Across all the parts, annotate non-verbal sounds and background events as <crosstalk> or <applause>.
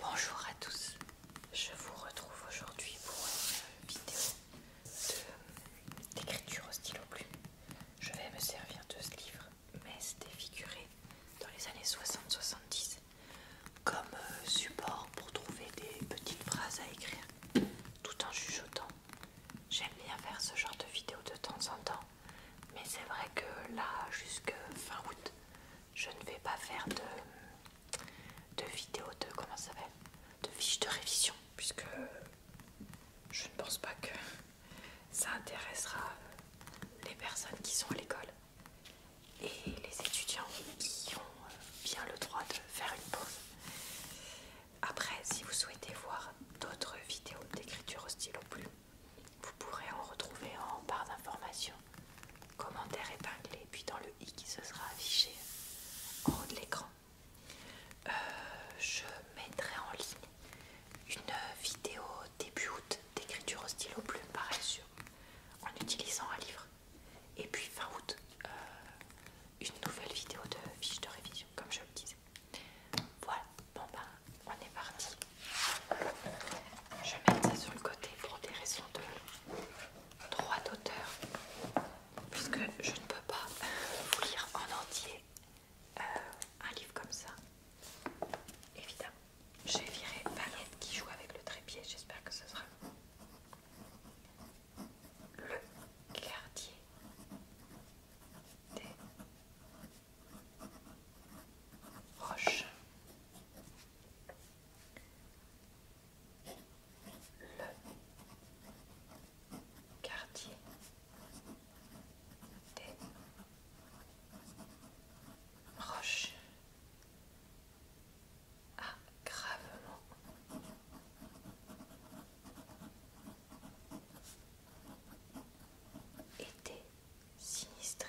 Bonjour à tous, je vous retrouve aujourd'hui pour une vidéo d'écriture au stylo plume. Je vais me servir de ce livre, mais c'était figuré dans les années 60-70 comme euh, support pour trouver des petites phrases à écrire tout en chuchotant. J'aime bien faire ce genre de vidéo de temps en temps, mais c'est vrai que là, jusque fin août, je ne vais pas faire de, de vidéo de comment ça s'appelle de fiche de révision puisque je ne pense pas que ça intéressera les personnes qui sont à l'école et les étudiants qui ont bien le droit de faire une pause. Après, si vous souhaitez voir d'autres vidéos d'écriture au stylo plus, vous pourrez en retrouver en barre d'informations, commentaires épinglé, puis dans le i qui se sera affiché en haut de l'écran. Euh, je mettrai en ligne une vidéo début août d'écriture au stylo plume par exemple, en utilisant un livre. Et puis fin août, euh, une nouvelle vidéo de fiche de révision, comme je le disais. Voilà, bon ben, on est parti je vais mettre ça sur le côté pour des raisons de droit d'auteur, puisque je ne peux pas vous lire en entier euh, un livre comme ça. Évidemment, j'ai viré Valette qui joue avec le trépied, j'espère que ce sera Le quartier des roches le quartier des roches a gravement été sinistré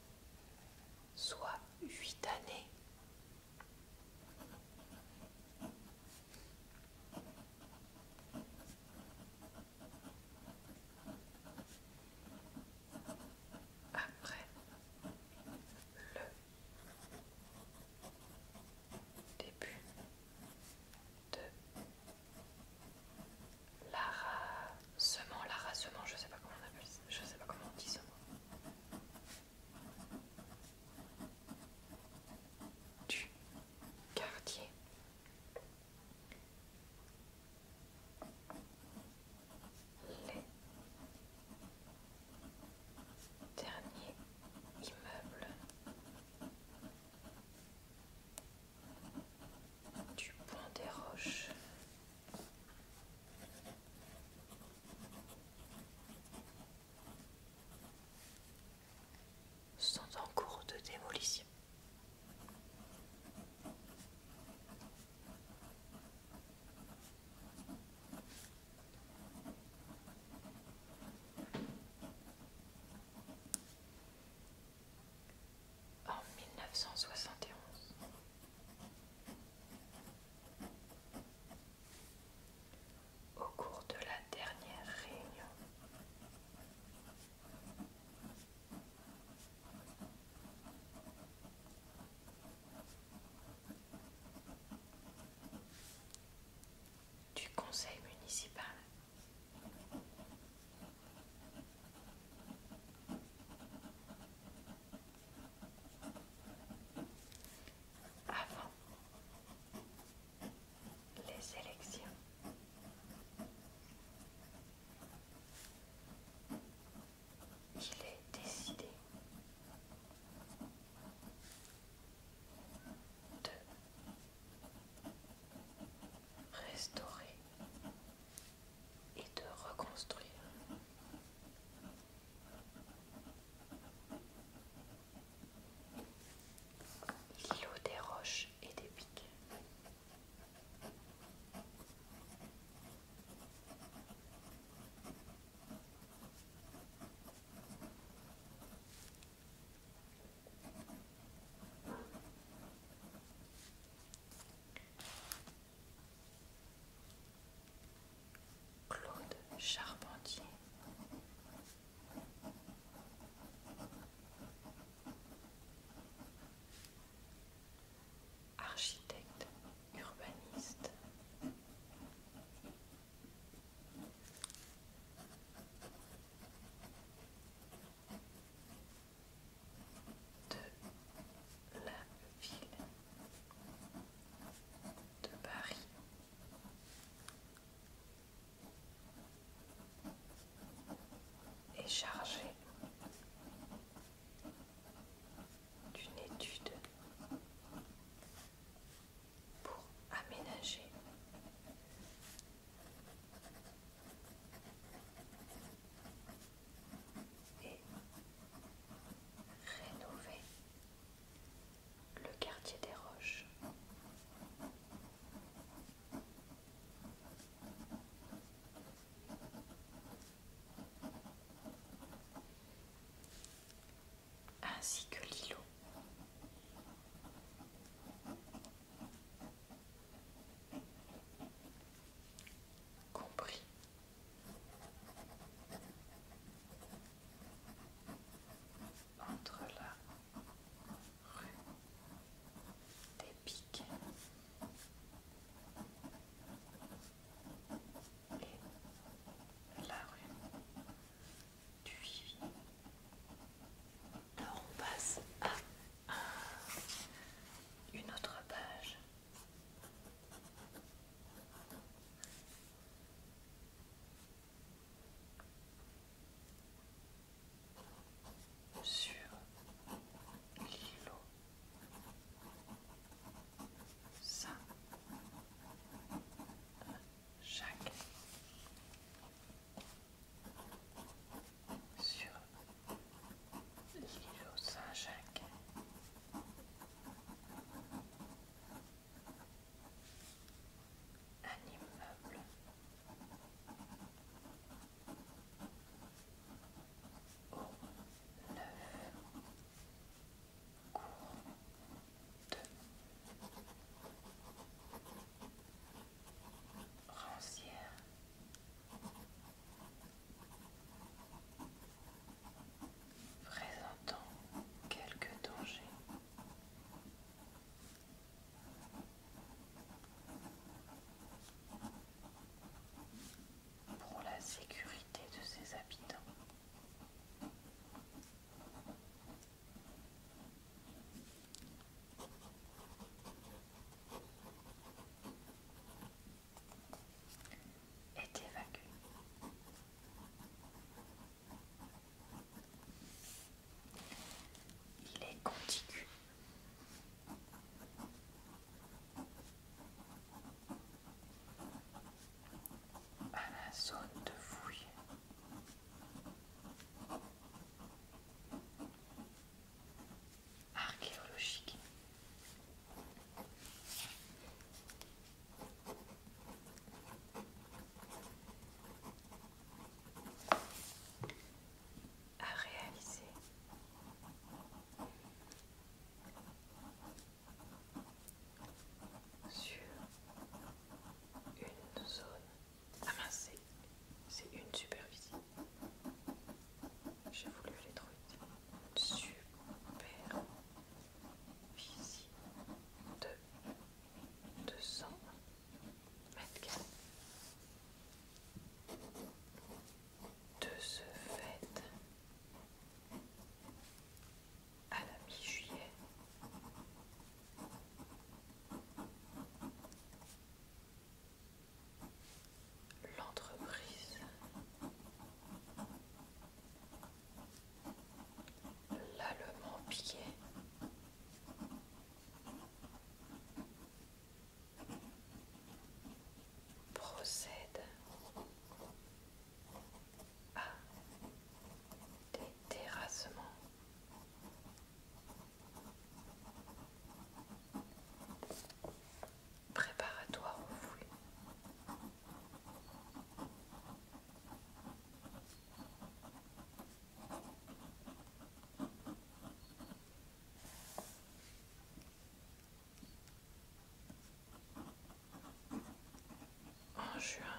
soit huit années. Après le début de Lara semant, je sais pas comment on appelle ça, je sais pas comment on dit ça. Du quartier. Les derniers immeubles du point des roches. sont en cours de démolition en 1971. Au cours de la dernière réunion, du conseil municipal avant les élections. Il est décidé de restaurer et de reconstruire. L'îlot des roches et des pics. Claude Charpentier. Architecte urbaniste de la ville de Paris. Est chargée d'une étude pour aménager et rénover le quartier des Roches. Ainsi que l'îlot compris. Entre la rue des Piquets et la rue du Vivi. Là, on passe à une autre page. Sur l'îlot, ça Jacques, euh, sur l'îlot Saint-Jacques. Un immeuble au neuf cours de rancière présentant quelques dangers. Pour la sécurité de ses habitants est évacué. Il est contigu. À la zone de fouille archéologique. à réaliser. Sur une zone amassée c'est une superficie. J'ai voulu les trouver. Une superficie de 200 mètres De ce fait, à la mi-juillet, l'entreprise, l'allemand pied, procède à des terrassements Préparatoire au fouet En juin,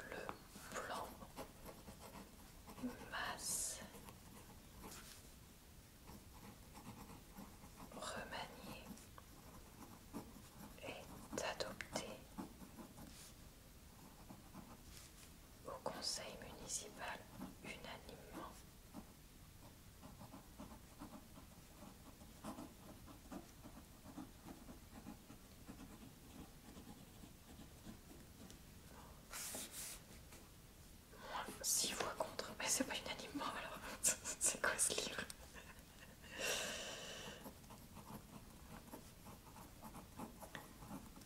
le blanc masse remaniée est adopté au conseil municipal unanimement moins 6 voix contre. Mais c'est pas unanimement alors. <laughs> c'est quoi ce livre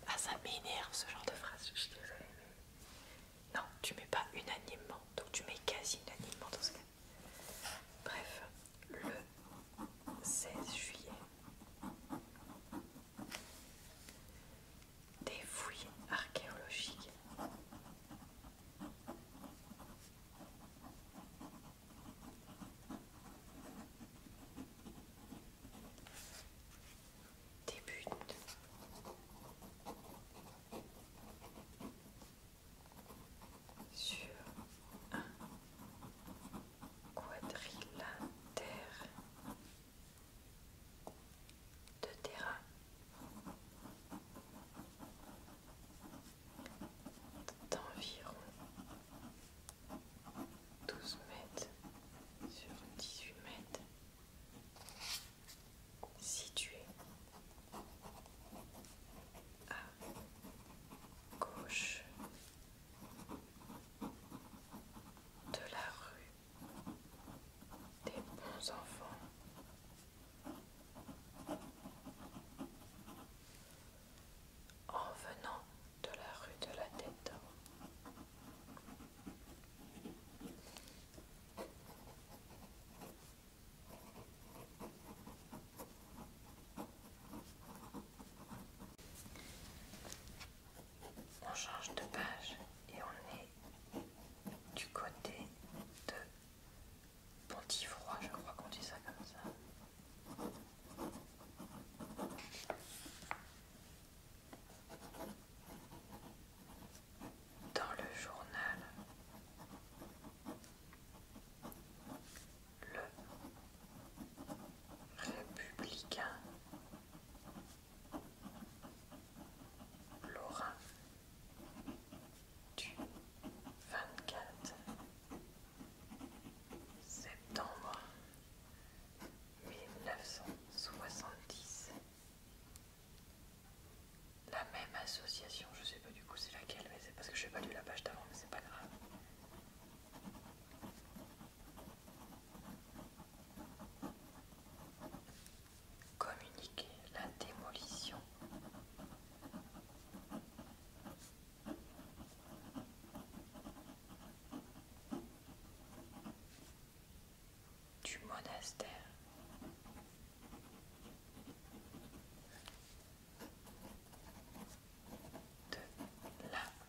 Ah, ça m'énerve ce genre de phrase, je Non, tu mets pas unanimement, donc tu mets quasi unanimement dans ce cas. Bref, le 16 juillet des fouilles archéologiques. Débute sur un quadrilatère de terrain. D'environ 12 mètres sur 18 mètres, situé à gauche de la rue des bons enfants. En venant de la rue de la tête on change de page et on est du côté de Pontifroy, je crois qu'on dit ça comme ça. Dans le journal, le républicain Laura du 24 septembre 1970. La même association, je sais pas du coup c'est laquelle, mais c'est parce que je n'ai pas lu la page d'avant, mais c'est pas grave. Communiquer la démolition. Du monastère. De la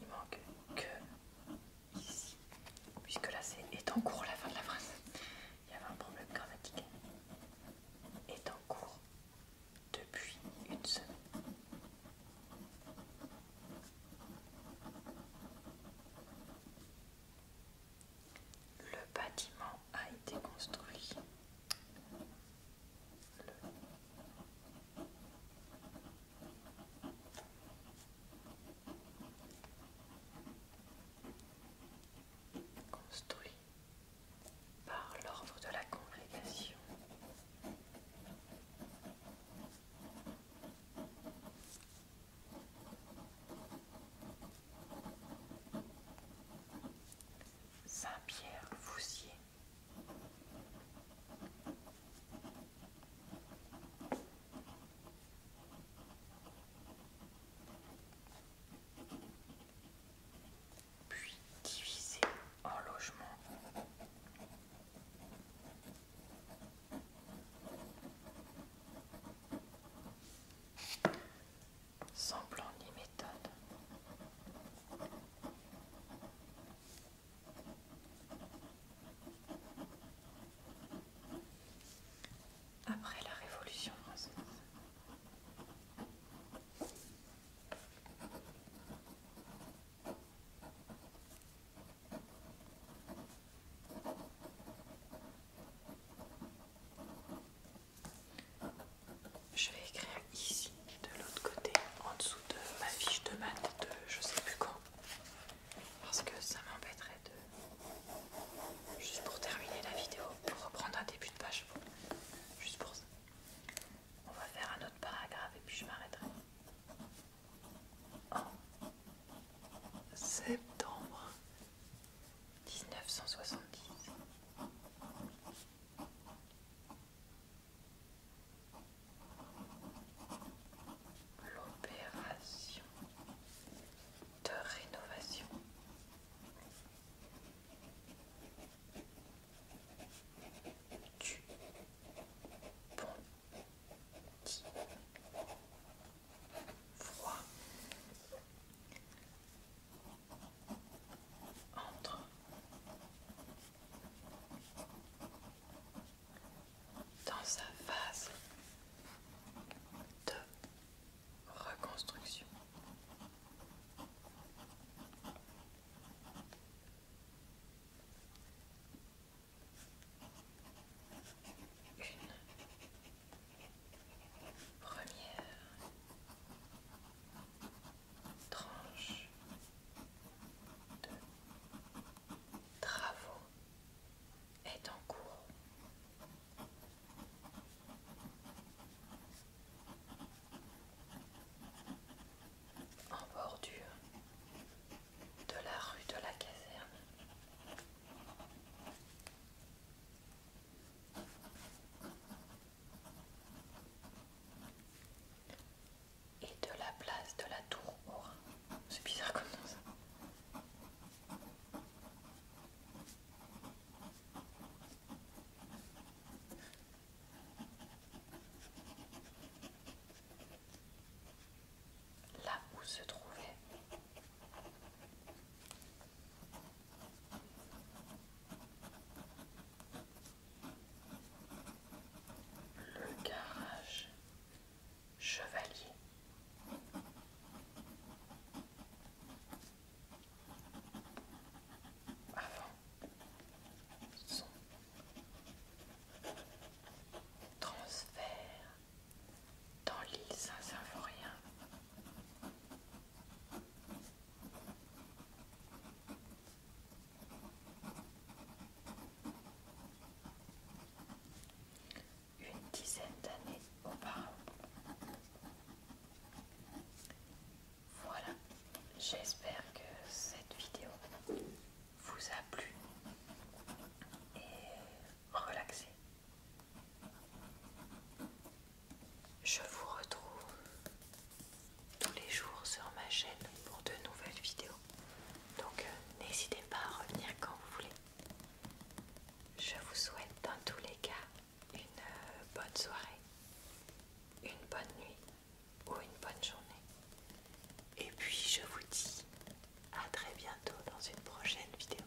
Il manque que ici, puisque là c'est est en cours la fin de la phrase. Il y avait un problème grammatical. « Est en cours depuis une semaine. Le bâtiment a été construit construit par l'ordre de la congrégation. Saint-Pierre-Foussier. Puis divisé en logements sans plan ni méthode. Après la Révolution française. Je vais écrire ici, de l'autre côté, en dessous de ma fiche de maths de je sais plus quand. Parce que ça m'embêterait de... Juste pour terminer la vidéo, pour reprendre un début de page. Juste pour ça. On va faire un autre paragraphe et puis je m'arrêterai. En septembre 1970. L'opération de rénovation du pont dit froid entre dans sa phase de reconstruction. Première tranche de travaux est en cours. En bordure de la rue de la caserne et de la place de la tour au C'est bizarre comme ça. Là où se trouvait le garage chevalier. Avant son transfert dans l'île Saint-Symphorien, une dizaine d'années auparavant. Voilà, j'espère que cette vidéo vous a plu et relaxé. Je vous retrouve tous les jours sur ma chaîne pour de nouvelles vidéos. Donc euh, n'hésitez pas à revenir quand vous voulez. Je vous souhaite dans tous les cas une euh, bonne soirée, une bonne nuit ou une bonne journée. Et puis je vous dis à très bientôt dans une prochaine vidéo.